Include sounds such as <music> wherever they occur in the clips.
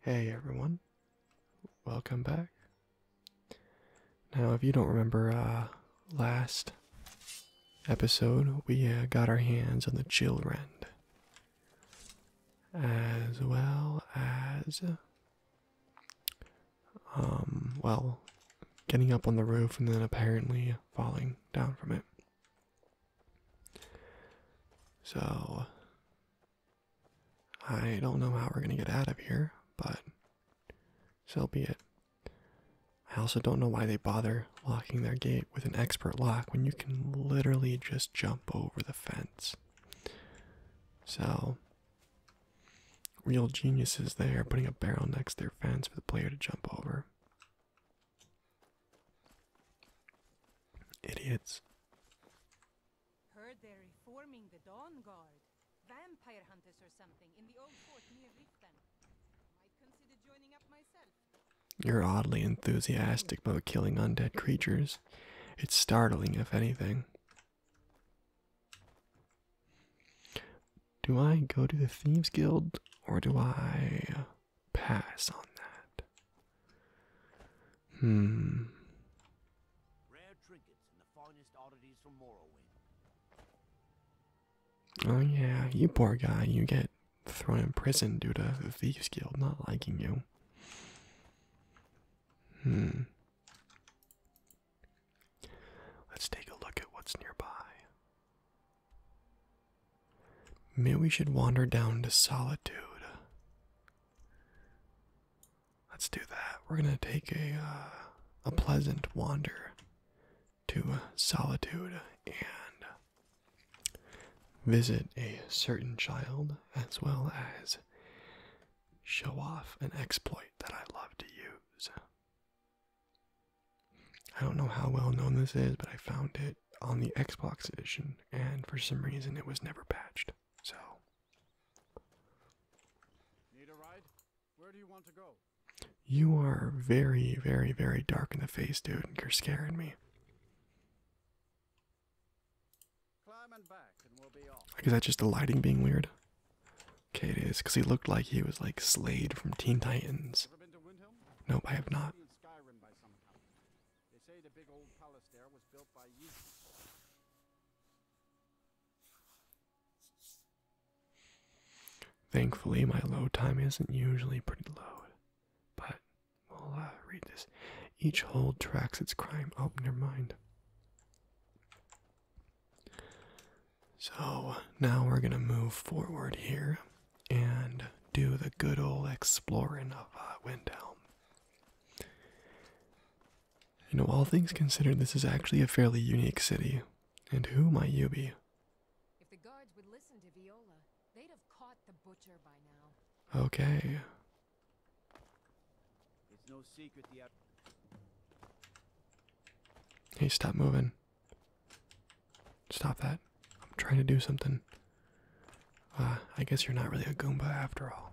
Hey everyone, welcome back. Now, if you don't remember, uh, last episode we uh, got our hands on the Rend, as well as, um, well, getting up on the roof and then apparently falling down from it. So, I don't know how we're going to get out of here, but so be it. I also don't know why they bother locking their gate with an expert lock when you can literally just jump over the fence. So, real geniuses there putting a barrel next to their fence for the player to jump over. Idiots. Heard they're reforming the Dawn Guard. Vampire hunters or something in the old fort near Riften. Might consider joining up myself. You're oddly enthusiastic about killing undead creatures. It's startling, if anything. Do I go to the Thieves Guild or do I pass on that. Hmm. Oh yeah, you poor guy, you get thrown in prison due to the Thieves Guild not liking you. Hmm. Let's take a look at what's nearby. Maybe we should wander down to solitude. Let's do that. We're gonna take a uh, a pleasant wander to uh, solitude and visit a certain child, as well as show off an exploit that I love to use. I don't know how well known this is, but I found it on the Xbox edition, and for some reason it was never patched. So, need a ride? Where do you want to go? You are very, very, very dark in the face, dude, you're scaring me. Climb and back, is that just the lighting being weird? Okay, it is, because he looked like he was like Slade from Teen Titans. Nope, I have not. Skyrim by some account. They say the big old palace there was built by you. Thankfully, my load time isn't usually pretty low, but we'll uh, read this. Each hold tracks its crime. Oh, your mind. So now we're gonna move forward here and do the good old exploring of uh, Windhelm. You know, all things considered, this is actually a fairly unique city. And who might you be? Okay. Hey, stop moving. Stop that. I'm trying to do something. Uh, I guess you're not really a Goomba after all.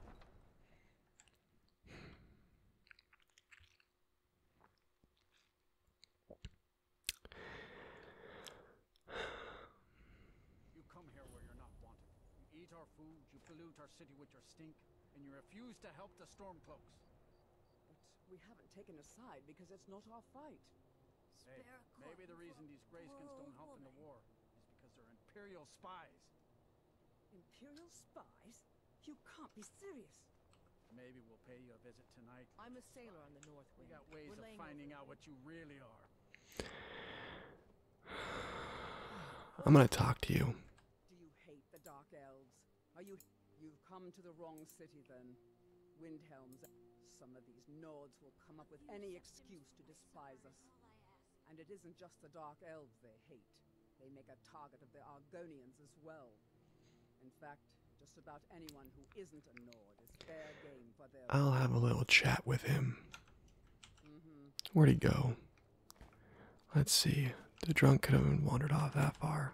You come here where you're not wanted. You eat our food, you pollute our city with your stink, and you refuse to help the Stormcloaks. But we haven't taken a side because it's not our fight maybe the reason these Grayskins don't help in the war is because they're Imperial spies. Imperial spies? You can't be serious. Maybe we'll pay you a visit tonight. I'm a sailor on the North We got ways of finding out what you really are. I'm gonna talk to you. Do you hate the Dark Elves? Are you... You've come to the wrong city, then. Windhelm's, some of these Nords will come up with any excuse to despise us. And it isn't just the Dark Elves they hate. They make a target of the Argonians as well. In fact, just about anyone who isn't a Nord is fair game for their... I'll have a little chat with him. Mm-hmm. Where'd he go? Let's see. The drunk could have wandered off that far.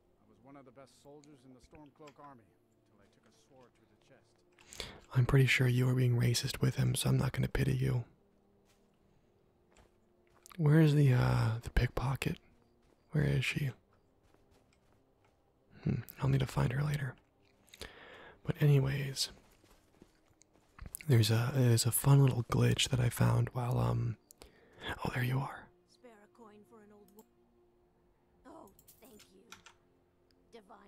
I was one of the best soldiers in the Stormcloak army until I took a sword to the chest. I'm pretty sure you were being racist with him, so I'm not going to pity you. Where is the uh the pickpocket? Where is she? Hmm, I'll need to find her later. But anyways, there's a there's a fun little glitch that I found while um oh there you are. Oh,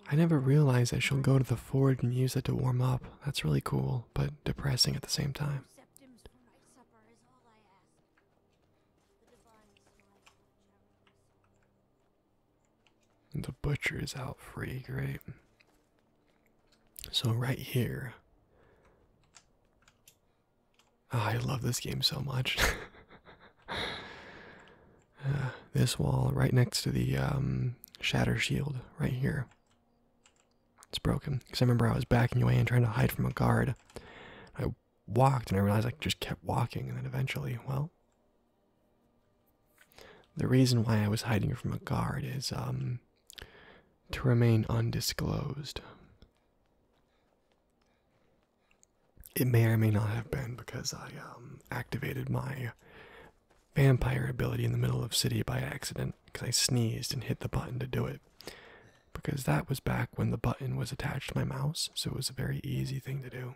I never realized I shall go to the forge and use it to warm up. That's really cool, but depressing at the same time. The butcher is out free, great. So right here Ah, I love this game so much. <laughs> Uh, this wall right next to the um, shatter shield right here. It's broken. Because I remember I was backing away and trying to hide from a guard. I walked and I realized I just kept walking and then eventually, well. The reason why I was hiding from a guard is um, to remain undisclosed. It may or may not have been because I um, activated my vampire ability in the middle of city by accident because I sneezed and hit the button to do it. Because that was back when the button was attached to my mouse, so it was a very easy thing to do.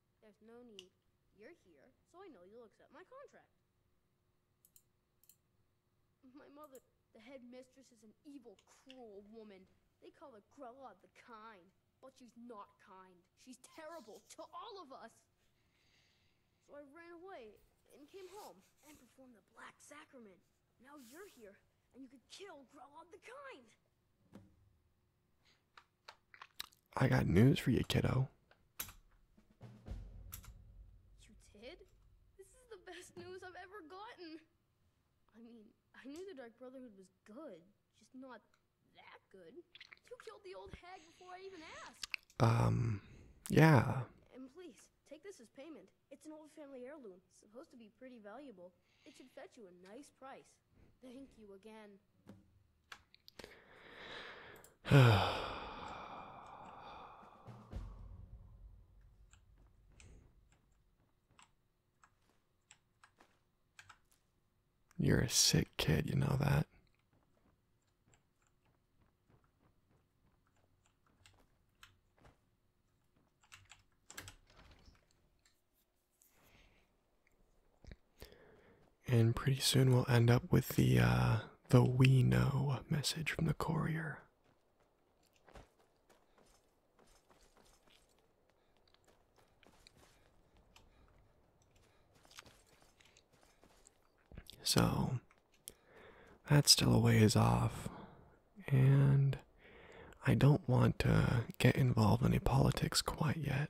There's no need. You're here, so I know you'll accept my contract. My mother, the headmistress, is an evil, cruel woman. They call her Grella the Kind, but she's not kind. She's terrible to all of us. So I ran away and came home and performed the Black Sacrament. Now you're here, and you could kill Grella the Kind. I got news for you, kiddo. You did? This is the best news I've ever gotten. I mean, I knew the Dark Brotherhood was good, just not that good. You killed the old hag before I even asked. Um, yeah. And please, take this as payment. It's an old family heirloom, supposed to be pretty valuable. It should fetch you a nice price. Thank you again. <sighs> You're a sick kid, you know that. And pretty soon we'll end up with the uh, the we know message from the courier. So that's still a ways off, and I don't want to get involved in any politics quite yet.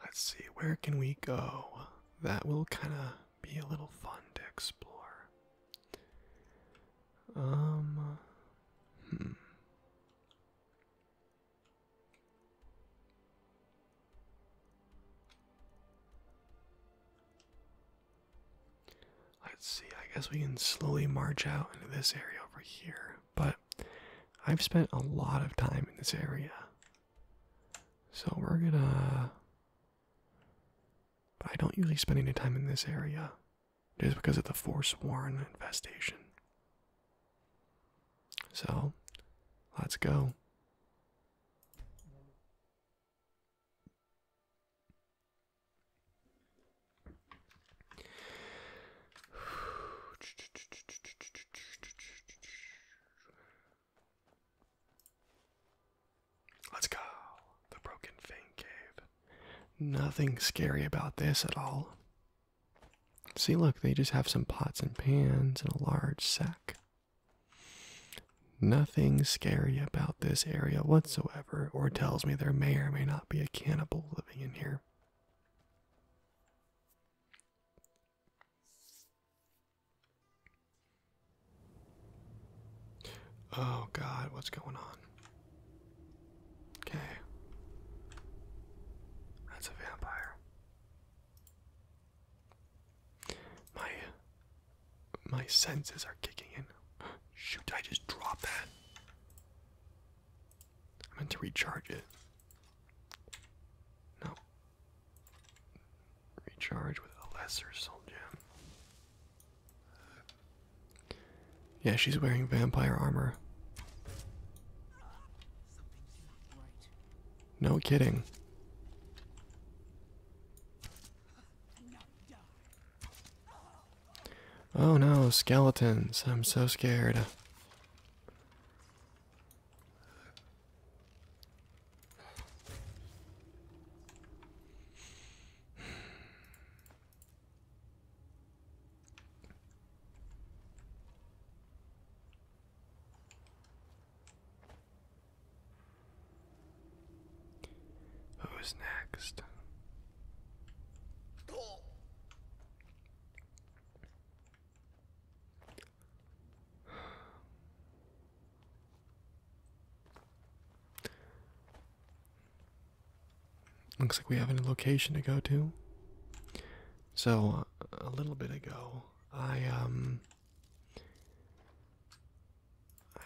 Let's see, where can we go? That will kind of be a little fun to explore. Um, hmm. Let's see, I guess we can slowly march out into this area over here, but I've spent a lot of time in this area. So we're gonna. I don't usually spend any time in this area just because of the Forsworn infestation. So, let's go. Let's go. The Broken Fang Cave. Nothing scary about this at all. See, look, they just have some pots and pans and a large sack. Nothing scary about this area whatsoever, or tells me there may or may not be a cannibal living in here. Oh God, what's going on? Okay. That's a vampire. My my senses are kicking in. Shoot, I just dropped that. I meant to recharge it. No. Recharge with a lesser soul gem. Yeah, she's wearing vampire armor. No kidding. Oh no, skeletons. I'm so scared. Who's next? Looks like we have a location to go to. So, uh, a little bit ago, I, um.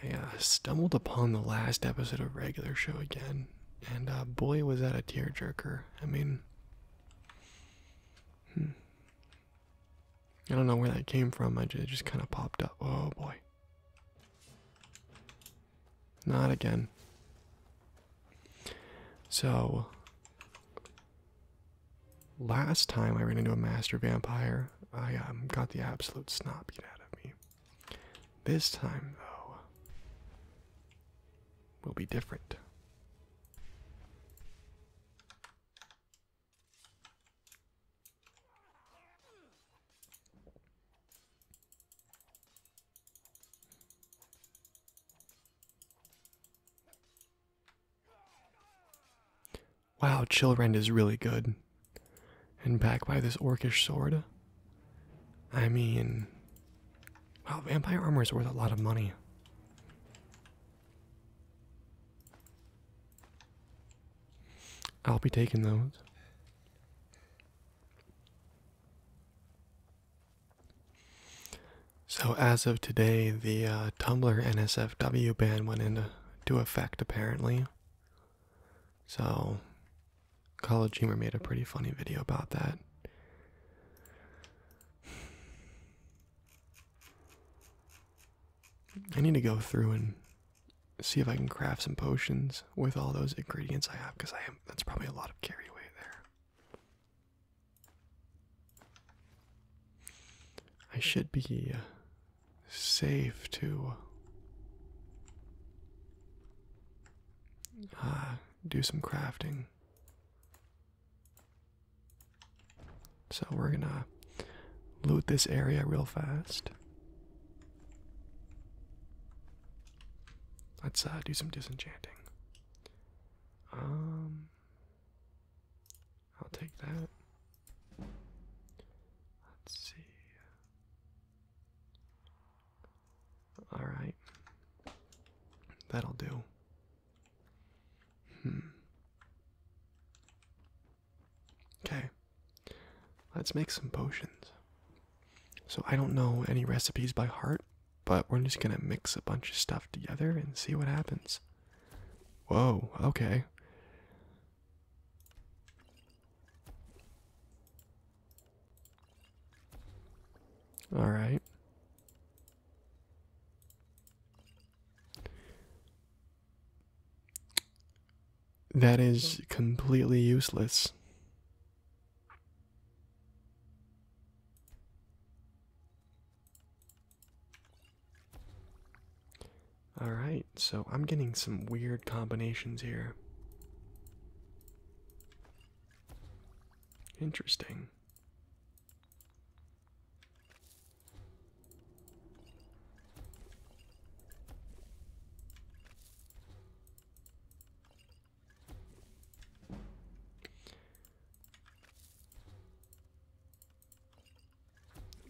I uh, stumbled upon the last episode of Regular Show again, and uh, boy, was that a tearjerker. I mean. Hmm. I don't know where that came from. I just, kind of popped up. Oh boy. Not again. So, last time I ran into a master vampire, I um, got the absolute snot out of me. This time, though, will be different. Wow, Chillrend is really good. And backed by this orcish sword. I mean, wow, vampire armor is worth a lot of money. I'll be taking those. So, as of today, the uh, Tumblr NSFW ban went into effect apparently. So, College Humor made a pretty funny video about that. I need to go through and see if I can craft some potions with all those ingredients I have because I am that's probably a lot of carry away there. I should be uh, safe to uh, do some crafting. So we're gonna loot this area real fast. Let's uh, do some disenchanting. Um, I'll take that. Let's see. All right, that'll do. Hmm. Okay, let's make some potions. So, I don't know any recipes by heart, but we're just gonna mix a bunch of stuff together and see what happens. Whoa, okay. All right. That is completely useless. Alright, so I'm getting some weird combinations here. Interesting.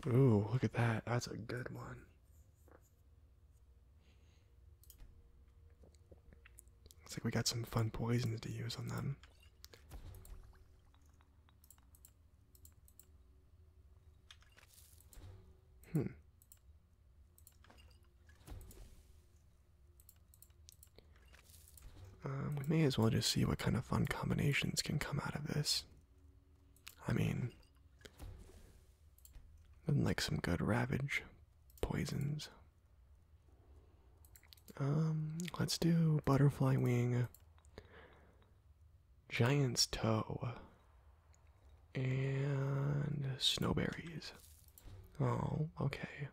Ooh, look at that. That's a good one. Looks like we got some fun poisons to use on them. Hmm. Um, we may as well just see what kind of fun combinations can come out of this. I mean, like some good ravage poisons. Um, let's do butterfly wing. Giant's Toe. And snowberries. Oh, okay.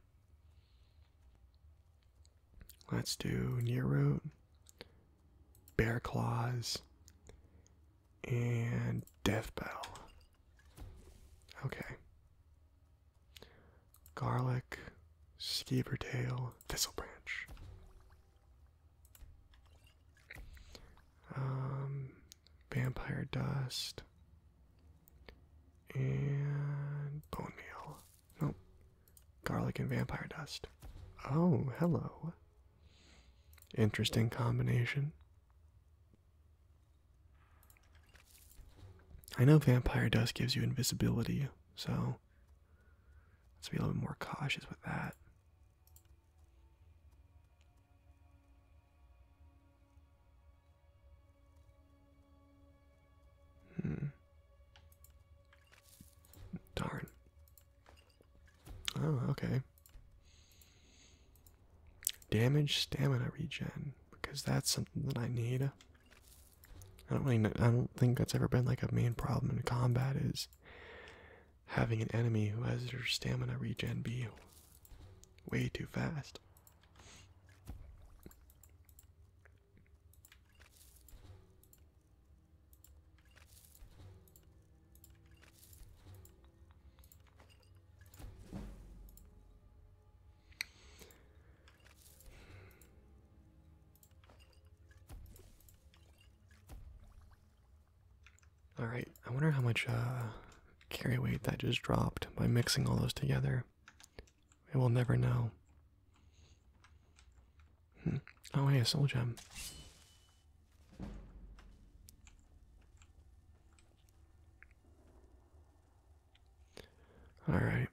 Let's do near root, bear claws, and death bell. Okay. Garlic, skeever tail, thistle branch um, vampire dust, and bone meal. Nope. Garlic and vampire dust. Oh, hello. Interesting combination. I know vampire dust gives you invisibility, so Let's be a little more cautious with that. Hmm. Darn. Oh, okay. Damage stamina regen because that's something that I need. I don't really I don't think that's ever been like a main problem in combat is Having an enemy who has your stamina regen be way too fast. Alright, I wonder how much uh, carry weight that just dropped by mixing all those together. We will never know. Hmm. Oh, hey, a soul gem. Alright.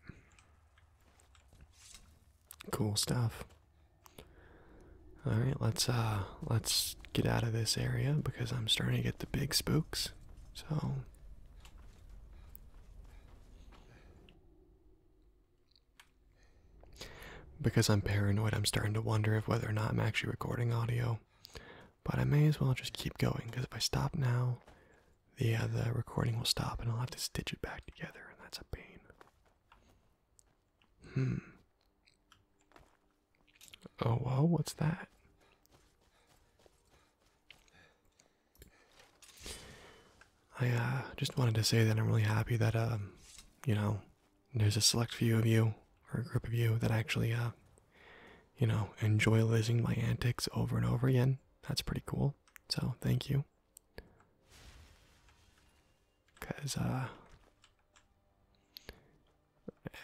Cool stuff. All right, let's uh let's get out of this area because I'm starting to get the big spooks. So because I'm paranoid, I'm starting to wonder if whether or not I'm actually recording audio. But I may as well just keep going because if I stop now, the uh, the recording will stop and I'll have to stitch it back together, and that's a pain. Hmm. Oh, whoa, what's that? I uh, just wanted to say that I'm really happy that, um, you know, there's a select few of you, or a group of you, that actually, uh, you know, enjoy listening my antics over and over again. That's pretty cool. So, thank you. Because, uh,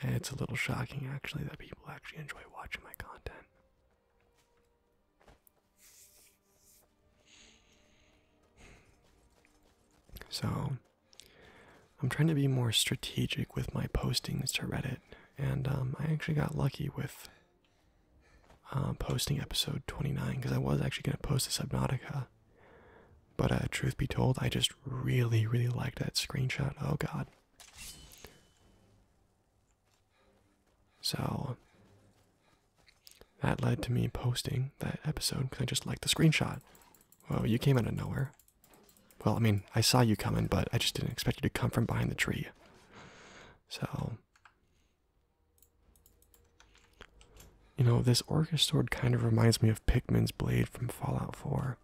it's a little shocking actually that people actually enjoy watching my content. So, I'm trying to be more strategic with my postings to Reddit, and um, I actually got lucky with uh, posting episode 29 because I was actually going to post a Subnautica but uh, truth be told, I just really, really like that screenshot. Oh god. So that led to me posting that episode because I just liked the screenshot. Whoa, you came out of nowhere. Well, I mean, I saw you coming, but I just didn't expect you to come from behind the tree. So you know, this Orcish sword kind of reminds me of Pikmin's blade from Fallout 4.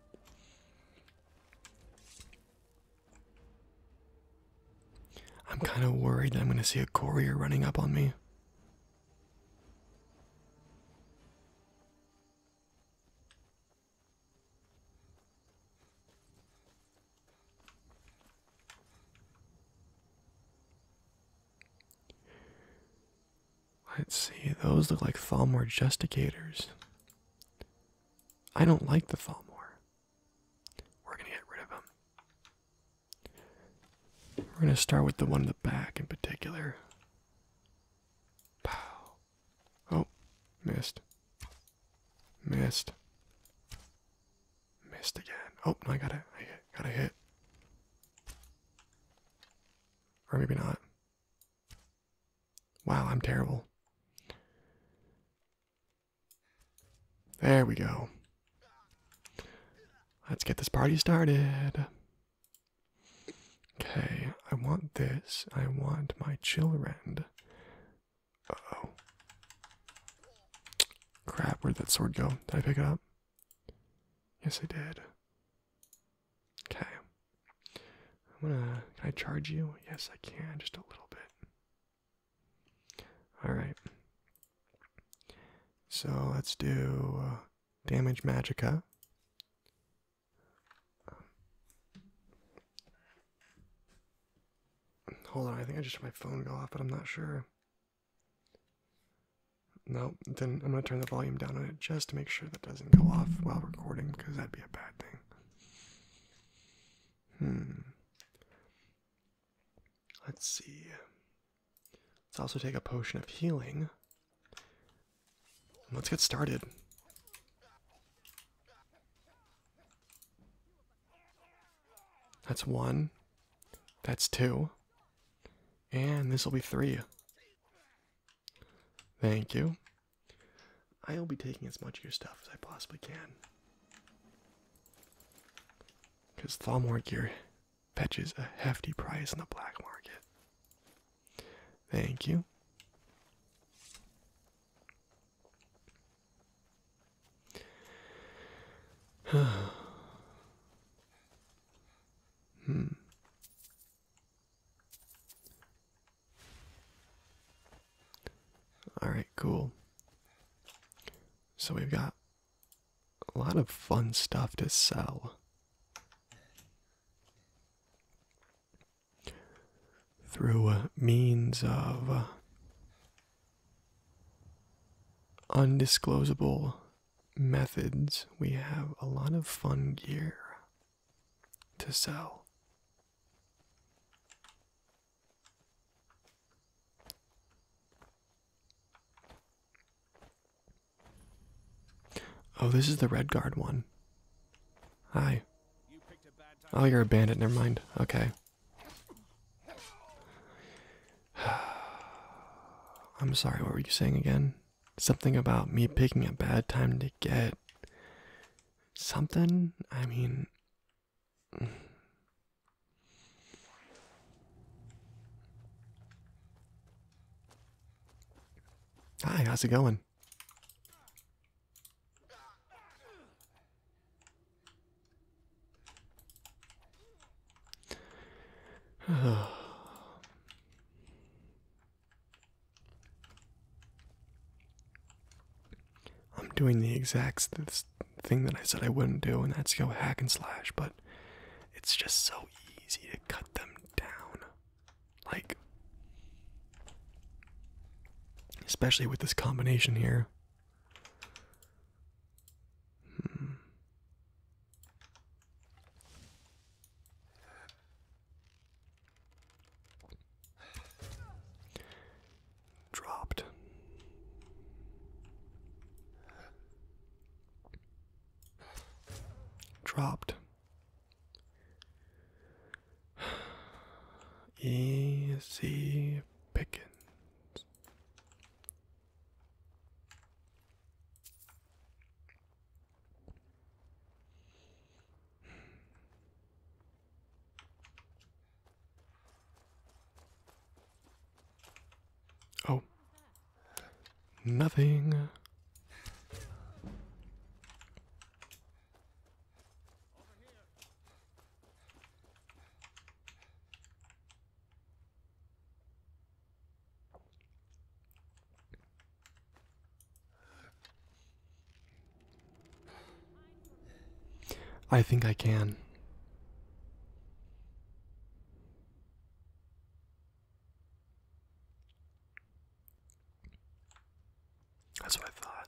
I'm kind of worried I'm going to see a courier running up on me. Let's see, those look like Thalmor Justicators. I don't like the Thalmor. We're gonna get rid of them. We're gonna start with the one in the back in particular. Pow. Oh, missed. Missed. Missed again. Oh, no, I got it. I got a hit. Or maybe not. Wow, I'm terrible. There we go. Let's get this party started. Okay, I want this. I want my chillrend. Uh oh. Crap, where'd that sword go? Did I pick it up? Yes, I did. Okay. I'm gonna. Can I charge you? Yes, I can. Just a little bit. All right. So let's do uh, damage magica. Um, hold on, I think I just heard my phone go off, but I'm not sure. No, then I'm going to turn the volume down on it just to make sure that doesn't go off while recording because that'd be a bad thing. Hmm. Let's see. Let's also take a potion of healing. Let's get started. That's one. That's two. And this will be three. Thank you. I'll be taking as much of your stuff as I possibly can. Because Thalmor gear fetches a hefty price in the black market. Thank you. <sighs> <sighs> Hmm. All right, cool. So we've got a lot of fun stuff to sell. Through uh, means of uh, undisclosed methods, we have a lot of fun gear to sell. Oh, this is the red guard one. Hi. Oh, you're a bandit. Never mind. Okay. <sighs> I'm sorry. What were you saying again? Something about me picking a bad time to get something? I mean. <sighs> Hi, how's it going? I'm doing the exact thing that I said I wouldn't do, and that's go hack and slash, but it's just so easy to cut them down. Like, especially with this combination here. Hmm. Dropped. Dropped. Easy pickings. Oh, nothing. I think I can. That's what I thought.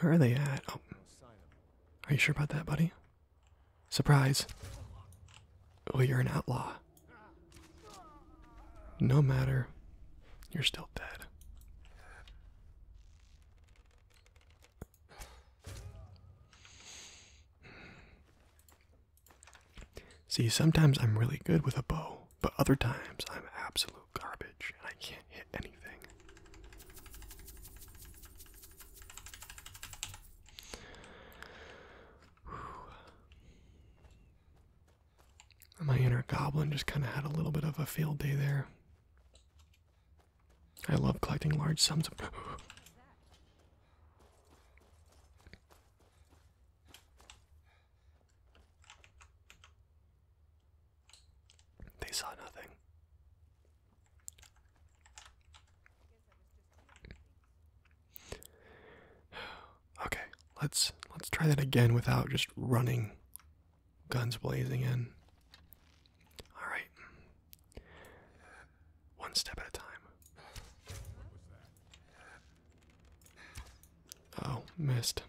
Where are they at? Oh. Are you sure about that, buddy? Surprise. Oh, you're an outlaw. No matter. You're still dead. See, sometimes I'm really good with a bow, but other times I'm absolutely garbage, I can't hit anything. Whew. My inner goblin just kind of had a little bit of a field day there. I love collecting large sums of. <gasps> They saw nothing. <sighs> Okay, let's let's try that again without just running guns blazing in. All right. One step at a time. Oh, missed.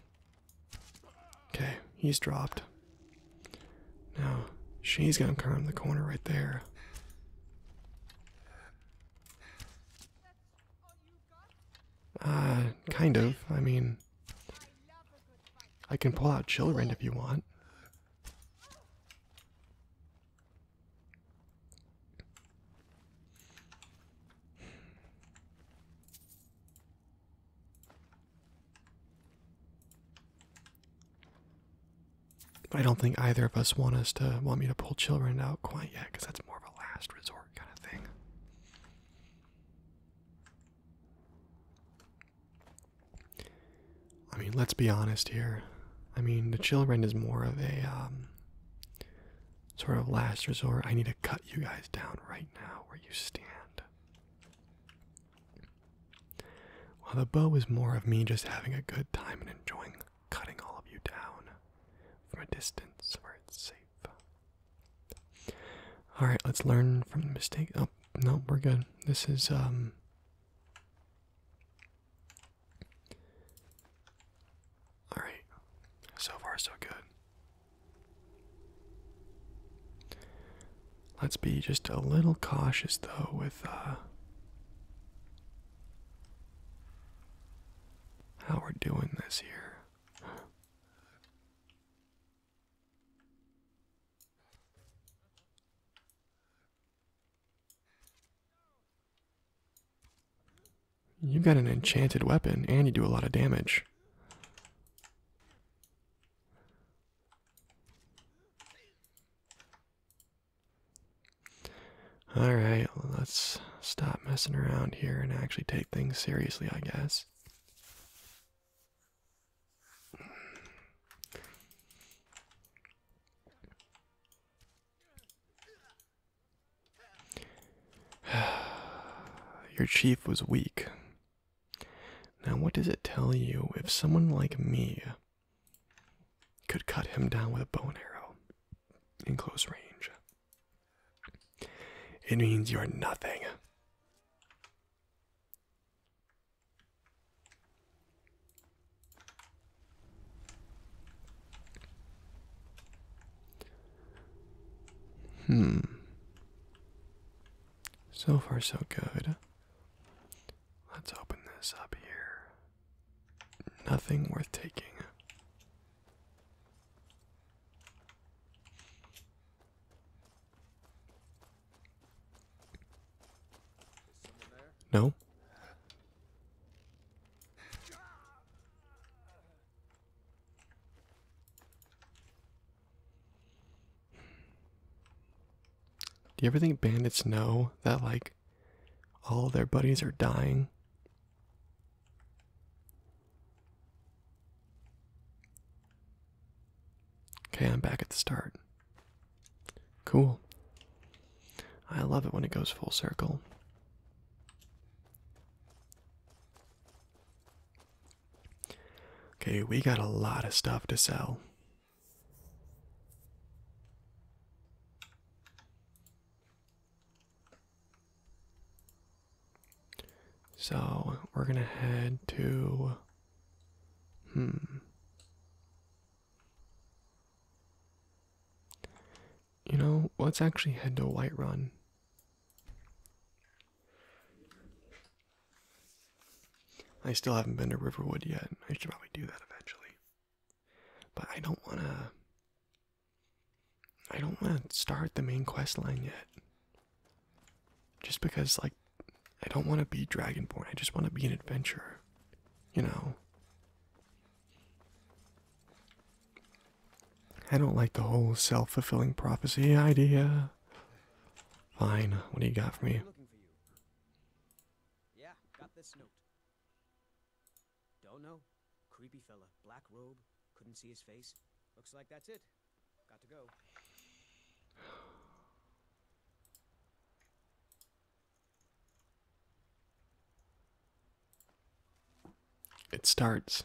Okay, he's dropped. Now, she's gonna come the corner right there. Uh, kind of. I mean, I can pull out Children if you want. I don't think either of us want us to want me to pull children out quite yet, because that's more of a last resort kind of thing. I mean, let's be honest here. I mean, the children is more of a um, sort of last resort. I need to cut you guys down right now where you stand. While the bow is more of me just having a good time and enjoying cutting all of you down from a distance where it's safe. Alright, let's learn from the mistake. Oh, no, we're good. This is, um. Alright, so far so good. Let's be just a little cautious though with uh, how we're doing this here. You have got an enchanted weapon and you do a lot of damage. All right, let's stop messing around here and actually take things seriously, I guess. <sighs> Your chief was weak. Now, what does it tell you if someone like me could cut him down with a bow and arrow in close range? It means you're nothing. Hmm. So far, so good. Let's open this up here. Nothing worth taking. No. Do you ever think bandits know that, like, all their buddies are dying? Okay, I'm back at the start. Cool. I love it when it goes full circle. Okay, we got a lot of stuff to sell. So we're gonna head to hmm. You know, let's actually head to Whiterun. I still haven't been to Riverwood yet. I should probably do that eventually. But I don't want to. I don't want to start the main quest line yet. Just because, like, I don't want to be Dragonborn. I just want to be an adventurer. You know? I don't like the whole self fulfilling prophecy idea. Fine. What do you got for me? Yeah, got this note. Don't know. Creepy fella. Black robe. Couldn't see his face. Looks like that's it. Got to go. It starts.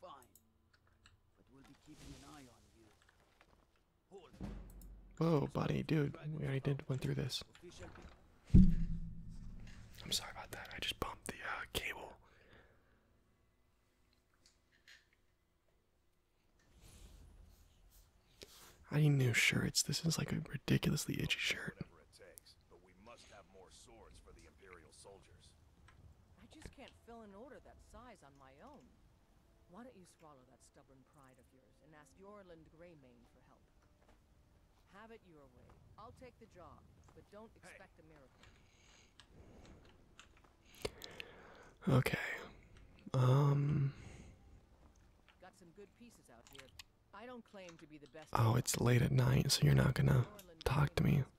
Fine. Whoa, buddy, dude, we already did went through this. I'm sorry about that. I just bumped the uh, cable. I need new shirts. This is like a ridiculously itchy shirt. I just can't fill an order that size on my own. Why don't you swallow that stubborn pride of yours and ask Yorland Greymane for help? Have it your way. I'll take the job, but don't expect a miracle. Okay. Um. Oh, it's late at night, so you're not gonna talk to me.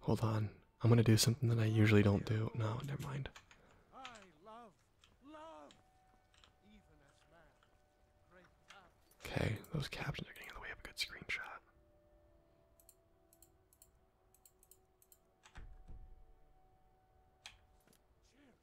Hold on. I'm gonna do something that I usually don't do. No, never mind. Okay, those captions are getting in the way of a good screenshot.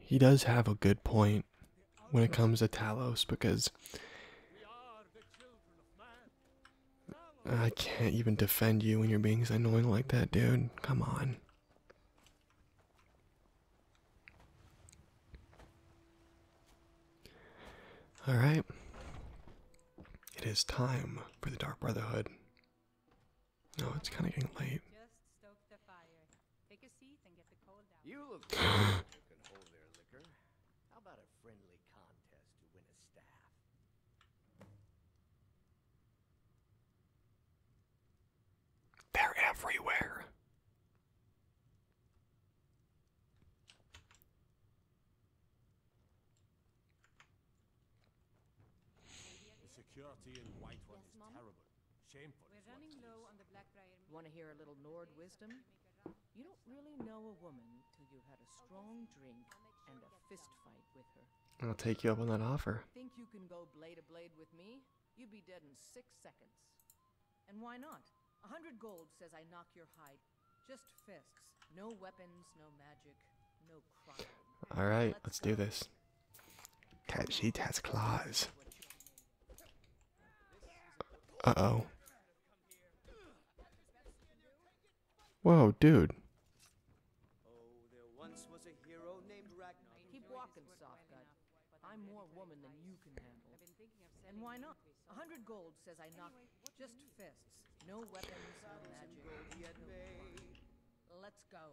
he does have a good point when it comes to Talos because I can't even defend you when you're being annoying like that, dude. Come on. Alright. It is time for the Dark Brotherhood. No, it's kind of getting late. Take a seat and get the cold out. You look <laughs> like you can hold their liquor. How about a friendly contest to win a staff? They're everywhere. The security in White One is terrible. Shameful. running low on the Blackbriar. Want to hear a little Nord wisdom? You don't really know a woman till you've had a strong drink and a fist fight with her. I'll take you up on that offer. Think you can go blade to blade with me? You'd be dead in six seconds. And why not? A hundred gold says I knock your hide. Just fists. No weapons, no magic, no crime. Alright, let's, do this. Cat sheet has claws. Uh-oh. Whoa, dude. I'm more woman than you can handle. And why not? A hundred gold says I knock just fists. No weapons, no magic. Let's go.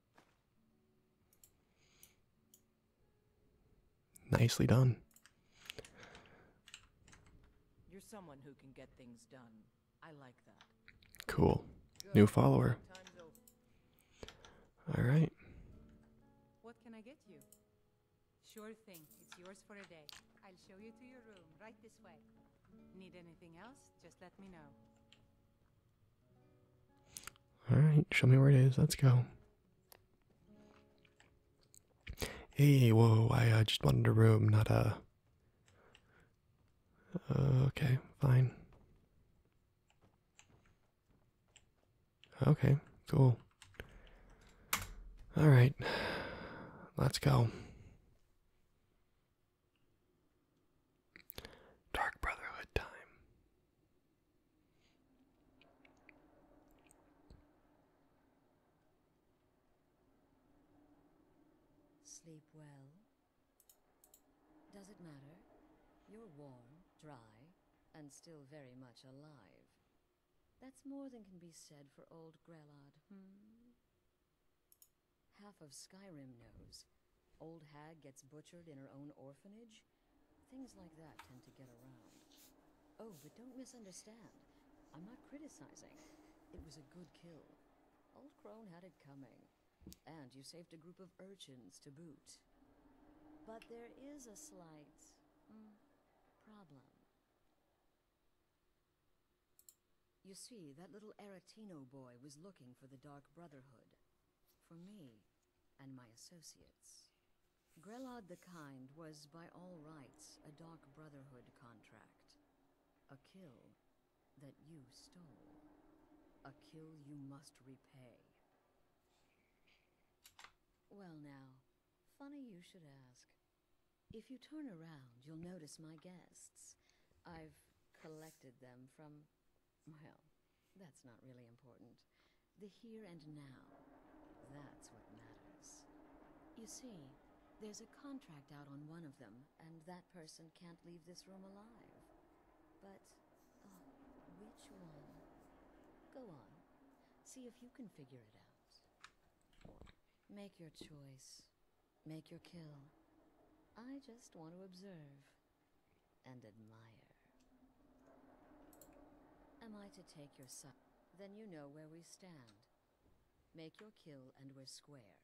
Nicely done. You're someone who can get things done. I like that. Cool. New follower. All right. What can I get you? Sure thing. It's yours for a day. I'll show you to your room right this way. Need anything else? Just let me know. Alright, show me where it is. Let's go. Hey, whoa, I uh, just wanted a room, not a. Uh, okay, fine. Okay, cool. Alright, let's go. Dark Brotherhood time. Sleep well. Does it matter? You're warm, dry, and still very much alive. That's more than can be said for old Grellard. hmm? Half of Skyrim knows Old hag gets butchered in her own orphanage. Things like that tend to get around. Oh, but don't misunderstand. I'm not criticizing. It was a good kill. Old Crone had it coming. And you saved a group of urchins to boot. But there is a slight... Hmm, problem. You see, that little Aretino boy was looking for the Dark Brotherhood for me and my associates. Grelad the Kind was by all rights a Dark Brotherhood contract. A kill that you stole. A kill you must repay. Well now, funny you should ask. If you turn around, you'll notice my guests. I've collected them from well, that's not really important. The here and now, that's what matters. You see, there's a contract out on one of them, and that person can't leave this room alive. But, oh, which one? Go on. See if you can figure it out. Make your choice. Make your kill. I just want to observe and admire. Am I to take your side? Then you know where we stand. Make your kill and we're square.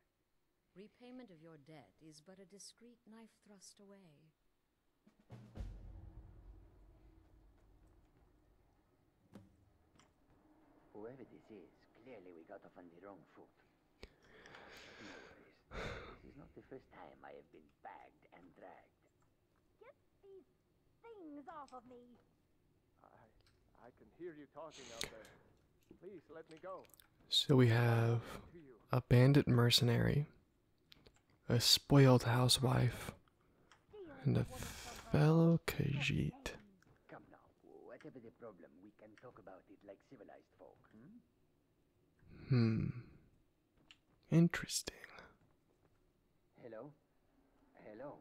Repayment of your debt is but a discreet knife thrust away. Whoever this is, clearly we got off on the wrong foot. This is not the first time I have been bagged and dragged. Get these things off of me! I, can hear you talking out there. Please let me go. So we have a bandit mercenary, a spoiled housewife, and a fellow kajit. Hmm. hmm. Interesting. Hello? Hello.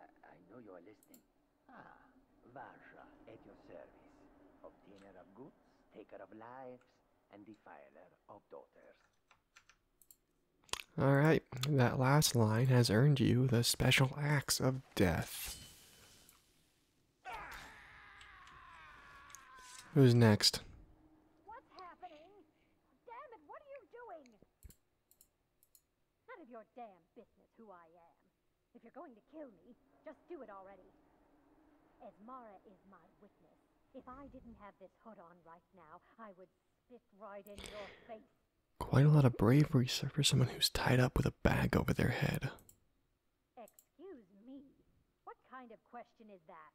I, know you are listening. Ah, Varja, at your service. Obtainer of goods, taker of lives, and defiler of daughters. Alright, that last line has earned you the special axe of death. Who's next? What's happening? Damn it, what are you doing? None of your damn business who I am. If you're going to kill me, just do it already. As Mara is my witness, if I didn't have this hood on right now, I would spit right in your face. Quite a lot of bravery, sir, for someone who's tied up with a bag over their head. Excuse me. What kind of question is that?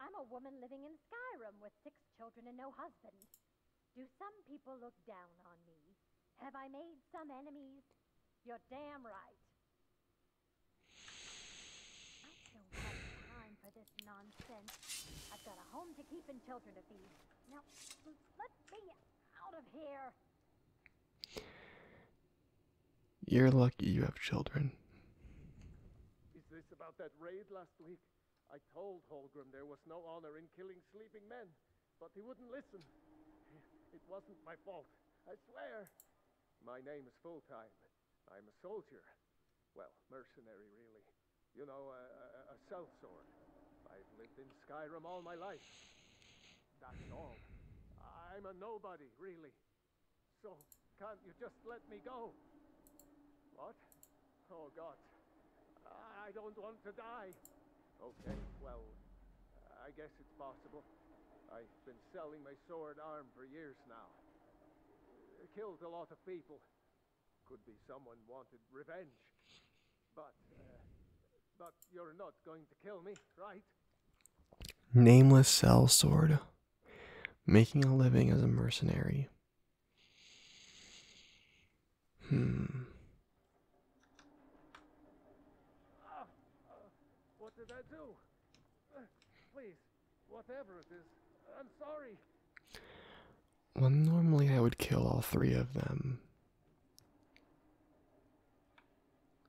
I'm a woman living in Skyrim with six children and no husband. Do some people look down on me? Have I made some enemies? You're damn right. I don't have time for this nonsense. I've got a home to keep and children to feed. Now, let me out of here. You're lucky you have children. Is this about that raid last week? I told Holgrim there was no honor in killing sleeping men, but he wouldn't listen. It wasn't my fault, I swear. My name is Fulltime. I'm a soldier. Well, mercenary, really. You know, a, a, sellsword. I've lived in Skyrim all my life. That's all. I'm a nobody, really. So, can't you just let me go? What? Oh, God. I don't want to die. Okay, well, I guess it's possible. I've been selling my sword arm for years now. It killed a lot of people. Could be someone wanted revenge. But, uh, but you're not going to kill me, right? Nameless cell sword making a living as a mercenary. Hmm. What did I do? Please, whatever it is, I'm sorry. Well, normally I would kill all three of them.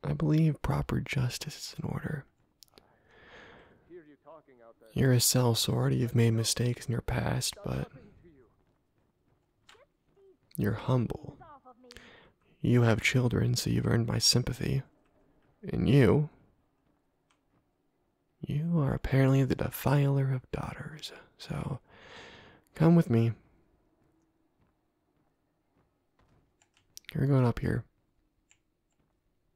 I believe proper justice is in order. You're a cell sword, you've made mistakes in your past, but you're humble. You have children, so you've earned my sympathy. And you, you are apparently the defiler of daughters, so come with me. You're going up here.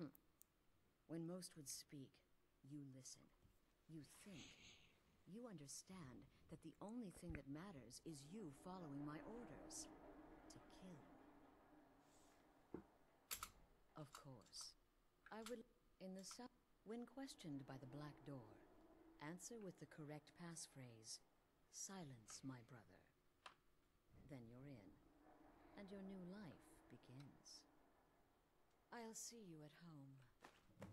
Hmm. When most would speak, you listen. You think. You understand that the only thing that matters is you following my orders. To kill. Of course. I would... In the south... When questioned by the Black Door, answer with the correct passphrase. Silence, my brother. Then you're in. And your new life begins. I'll see you at home.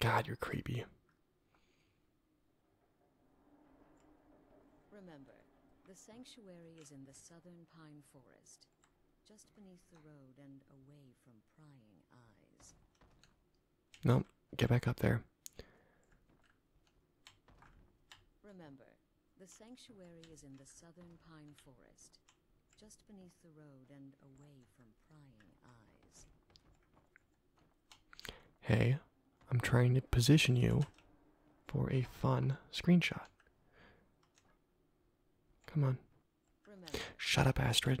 God, you're creepy. Remember, the sanctuary is in the southern pine forest, just beneath the road and away from prying eyes. No, nope, get back up there. Remember, the sanctuary is in the southern pine forest, just beneath the road and away from prying eyes. Hey, I'm trying to position you for a fun screenshot. Come on. Shut up, Astrid.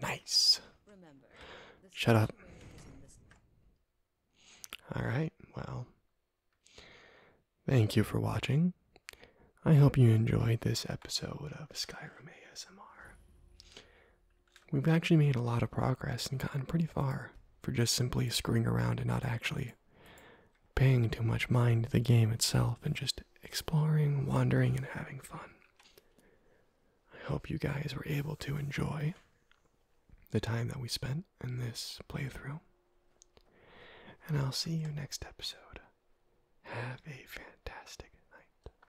Nice. Shut up. All right. Well, thank you for watching. I hope you enjoyed this episode of Skyrim ASMR. We've actually made a lot of progress and gotten pretty far for just simply screwing around and not actually paying too much mind to the game itself and just exploring, wandering, and having fun. I hope you guys were able to enjoy the time that we spent in this playthrough. And I'll see you next episode. Have a fantastic night.